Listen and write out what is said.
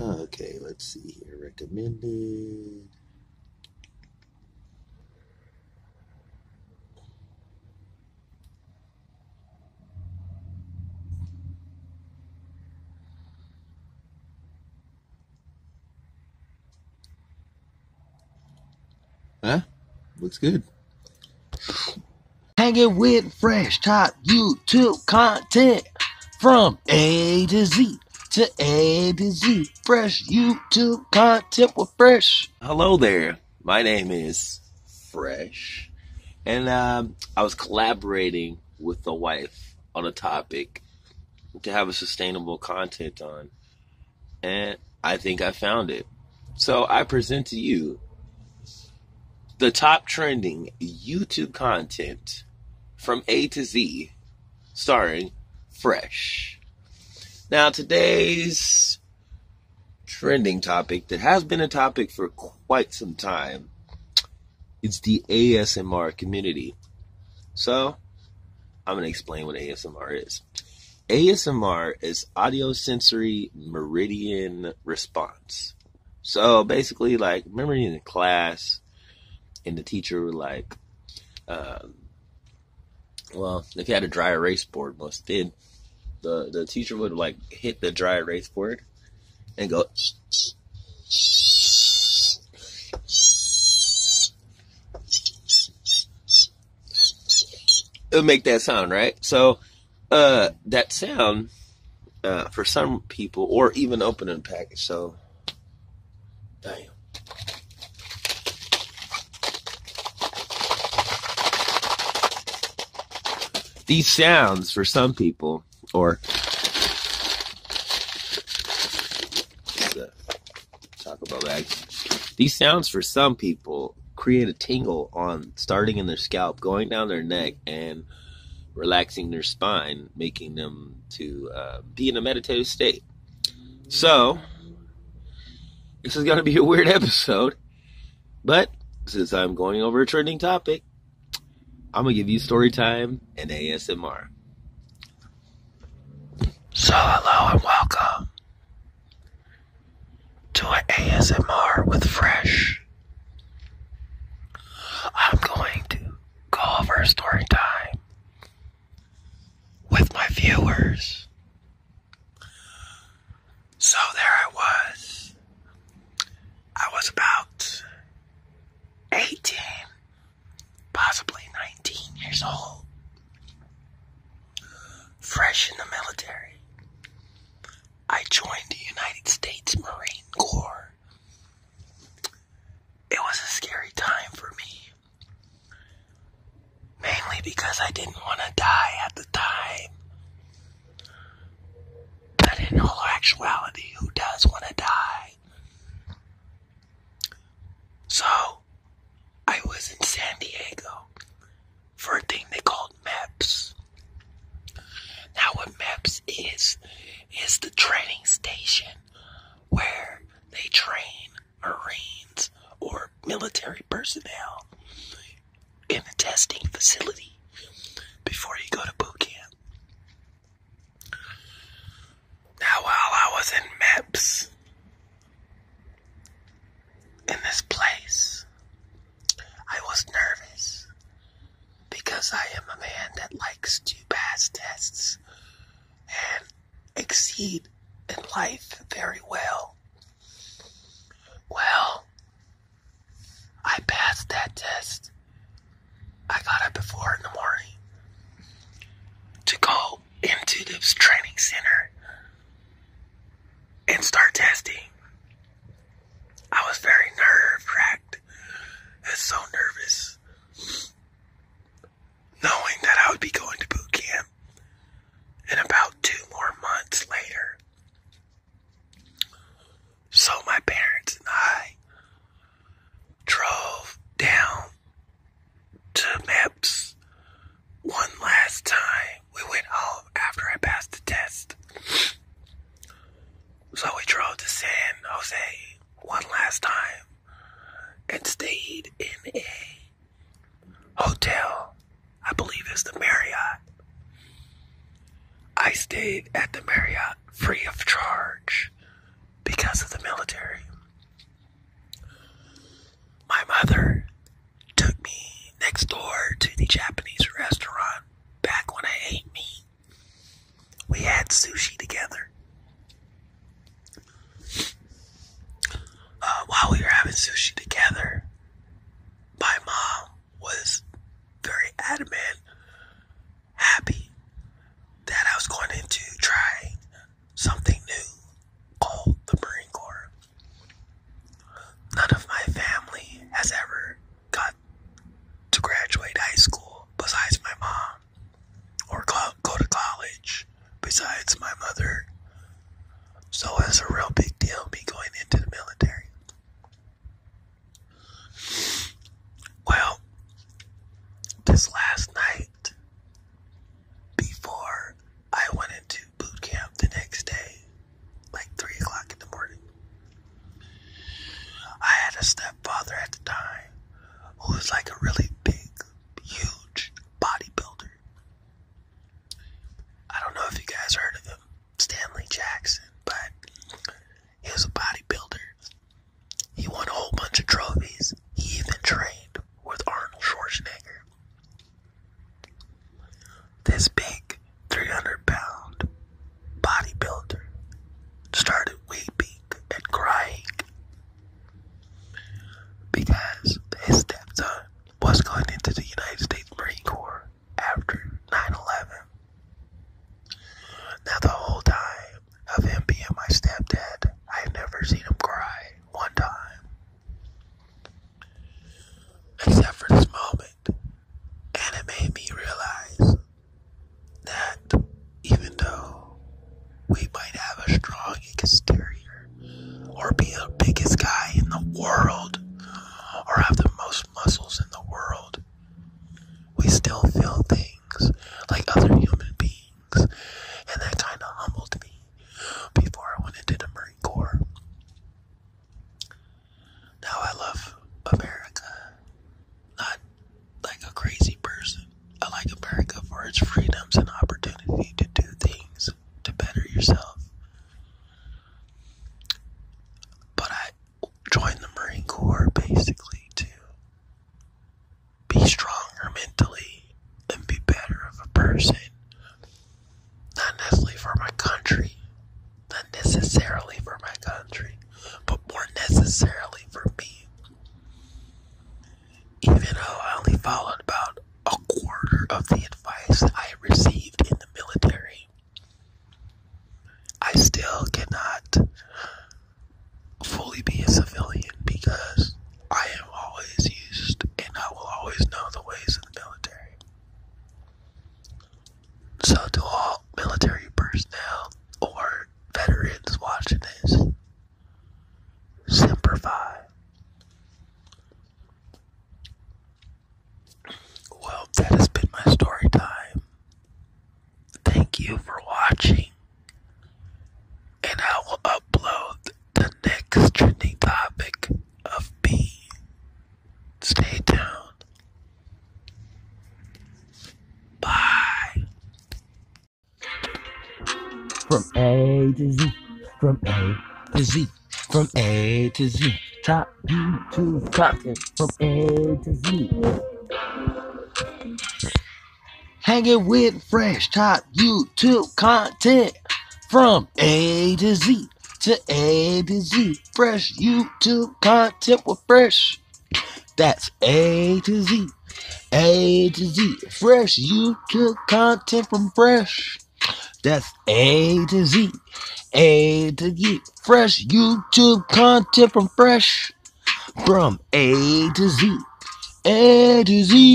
Okay, let's see here. Recommended. Huh? Looks good. Hang it with fresh top YouTube content. From A to Z to A to Z. Fresh YouTube content with Fresh. Hello there. My name is Fresh. And um, I was collaborating with the wife on a topic to have a sustainable content on. And I think I found it. So I present to you the top trending YouTube content from A to Z, starring Fresh. Now, today's trending topic that has been a topic for quite some time It's the ASMR community. So, I'm going to explain what ASMR is. ASMR is audio sensory meridian response. So basically, like, remember in the class, and the teacher would like, um, well, if you had a dry erase board, most did, the the teacher would like hit the dry erase board, and go. It'll make that sound, right? So uh, that sound uh, for some people, or even opening package. So, damn. These sounds for some people, or the Taco bags, these sounds for some people create a tingle on starting in their scalp, going down their neck, and relaxing their spine, making them to uh, be in a meditative state. So, this is going to be a weird episode, but since I'm going over a trending topic, I'm going to give you story time and ASMR. So, hello and welcome to an ASMR with Fresh. I'm going to go over story time with my viewers. So there I was. I was about 18, possibly 19 years old, fresh in the military. I joined the United States Marine Corps. It was a scary time for me. Mainly because I didn't want to die at the time. But in all actuality, who does want to die? So, I was in San Diego for a thing they called MEPS. Now, what MEPS is, is the training station where they train Marines or military personnel in the testing facility before you go to boot camp. Now, while I was in MEPS, in this place, I was nervous because I am a man that likes to pass tests and exceed in life very well. Well, I passed that test. I got up before in the morning to go into this training center and start testing. I was very nerve wracked and so nervous knowing that I would be going to boot camp in about two more months later. So my parents and I drove down to MEPS one last time we went home after I passed the test. So we drove to San Jose one last time and stayed in a hotel. I believe is the Marriott. I stayed at the Marriott free of charge because of the military. My mother took me next door to the Japanese restaurant back when I ate meat. We had sushi together. Uh, while we were having sushi together, my mom was very adamant, happy that I was going into trying something new called the Marine Corps. None of my family has ever got to graduate high school besides my mom, or go to college besides my mother. So it's a real big deal me going into the military. Well, this last night, before I went into boot camp the next day, like three o'clock in the morning. I had a stepfather at the time who was like a really big, huge bodybuilder. I don't know if you guys heard of him, Stanley Jackson, but he was a bodybuilder. He won a whole bunch of trophies. He even trained with Arnold Schwarzenegger. This big 300 pound bodybuilder started weeping and crying because his stepson was going into the United States Marine Corps after 9 11. Now, the whole time of him being my stepdad, I have never seen him cry one time. Except for this moment. And it made me realize that even though we might have a strong exterior, or be the biggest guy in the world, or have the most muscles in the world, we still feel things like other human beings. And that kind of humbled me before I went into the Marine Corps. Now I love America. Not like a crazy person. I like America for its freedoms and opportunity to do things to better yourself. But I joined the Marine Corps basically to be stronger mentally and be better of a person not necessarily for my country, not necessarily for my country, but more necessarily for me. Even though I only followed about a quarter of the advice I received in the military, I still cannot fully be a civilian because I am always used and I will always know the ways of the military. So, to all military personnel or veterans watching this, simplify. Well, that has been my story time. Thank you for watching, and I will upload the next trending topic of B. Stay tuned. Bye. From A to Z, from A to Z, from A to Z. Top YouTube content from A to Z. Hanging with fresh top YouTube content from a to Z to A to Z. Fresh YouTube content from Fresh. That's A to Z. A to Z. Fresh YouTube content from Fresh. That's A to Z. A to Z. Fresh YouTube content from Fresh. From A to Z. A to Z.